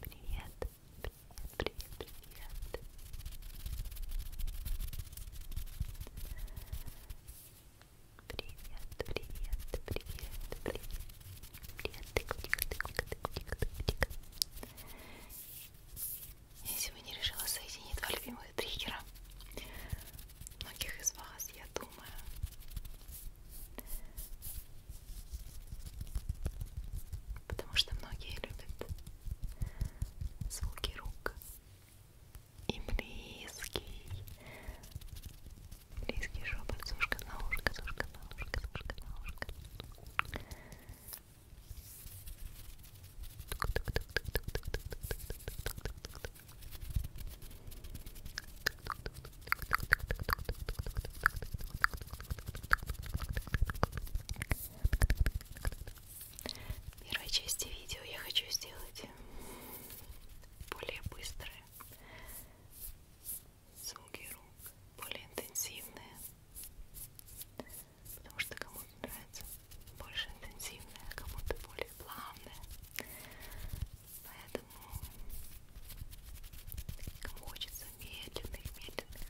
Привет, привет, привет, привет. Привет, привет, привет, привет. Привет, тык, тык, тык, тык, тык, тык, тык. Я сегодня решила соединить два любимых триггера многих из вас, я думаю. Потому что многие любят звуки рук. И близкий, близкий шепот, сушка на ушко, сушка на ушко, сушка на ушко. Первой части видео я хочу сделать более быстрые звуки рук, более интенсивные потому что кому-то нравится больше интенсивная, кому-то более плавная. Поэтому кому хочется медленных, медленных,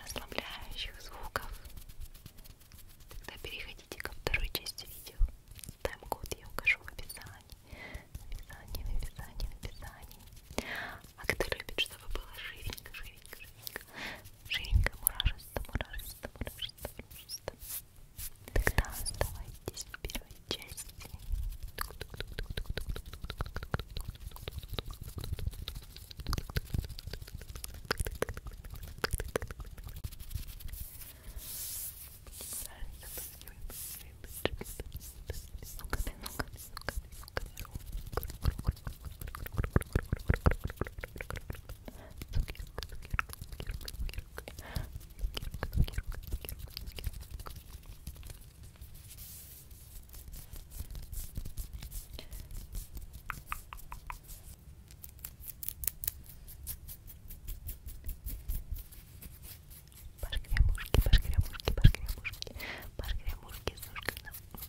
расслабляющих звуков, тогда переходите ко второй части видео. Тайм-код я укажу в описании. В описании, в описании, в описании. А кто любит, чтобы было живенько, живенько, живенько Жиренькая мурашиста, мурашиста, мурашиста, мурашиста. Тогда оставайтесь в первой части. Ну-ка, ну-ка, ну-ка, Пашкрямушки, пашкрямушки, пашкрямушки, пашкрямушки, сушка на мушка.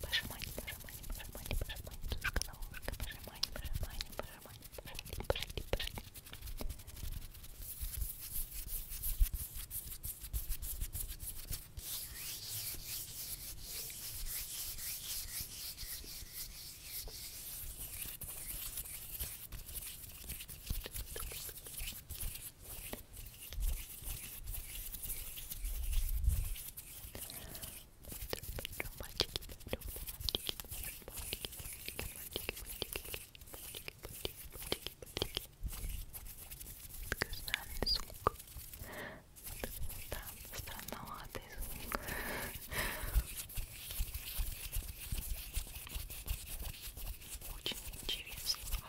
Пожимание, пожимание, пожимание, пожимание, тушка на ушко, пожимание, пожимание, пожимание, пожали, пожали, пожали. Странный звук. Да, странноватый звук. Очень интересно.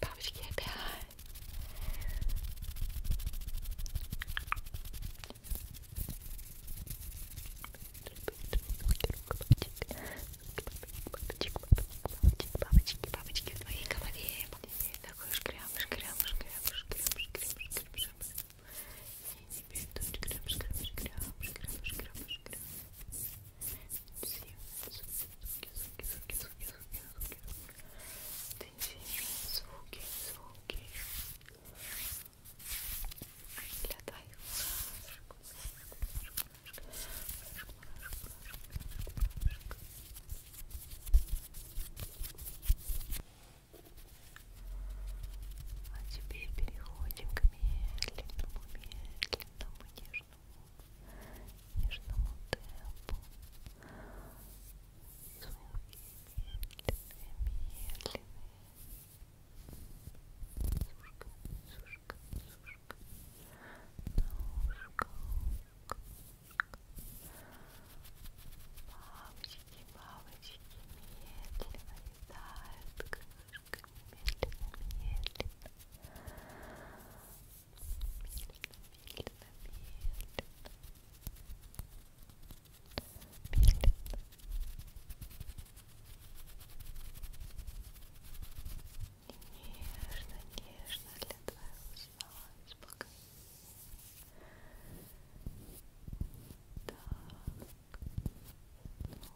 Бабочки опять. Бабочки, бабочки, бабочки, бабочки в твоей голове. Такой шкрямыш, крямыш, крямыш, крямыш, крямыш, крямыш. И теперь тут шкрямыш, крямыш, крямыш, крямыш, крямыш, крямыш звуки, звуки, а теперь переходим к медленному, медленному, нежному, нежному темпу, звуки медленные, медленные. Сушка, сушка, сушка, наушка, ушка, ушка. Бабочки, бабочки медленно летают, крыши медленно, медленно, медленно, медленно, медленно. Нежно, нежно для твоего сна спокойно. Так, ну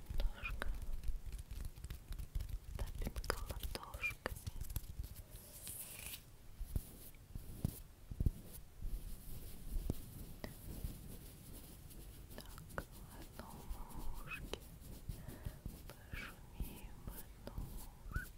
Немножко тапинка ладошками. Так, в одном ушке пошумим в одном ушке.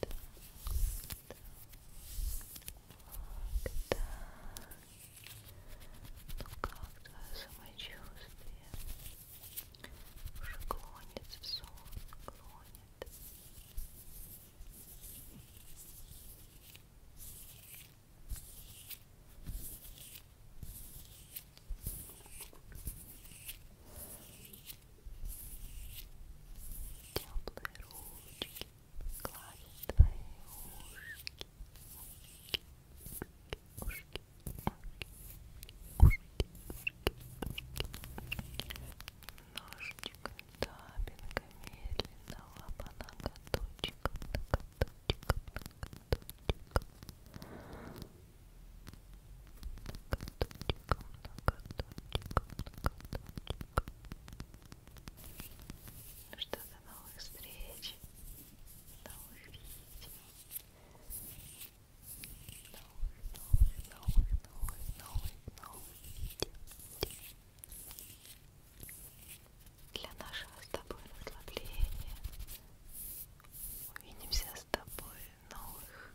так, так, так. Ну как твое самочувствие? Уже клонится сон, ну, клонит. Так, э, Теплые ручки гладят твои ушки, ушки, ушки, ушки, ушки, ушки. Ножничком, табинка, медленно лапа на каточек, на каточек, на каточек. Ноготочком, ноготочком, ноготочком. Ну что, до новых встреч, новых видео, новых, новых, новых, новых, новых, новых видео для нашего с тобой расслабления. Увидимся с тобой в новых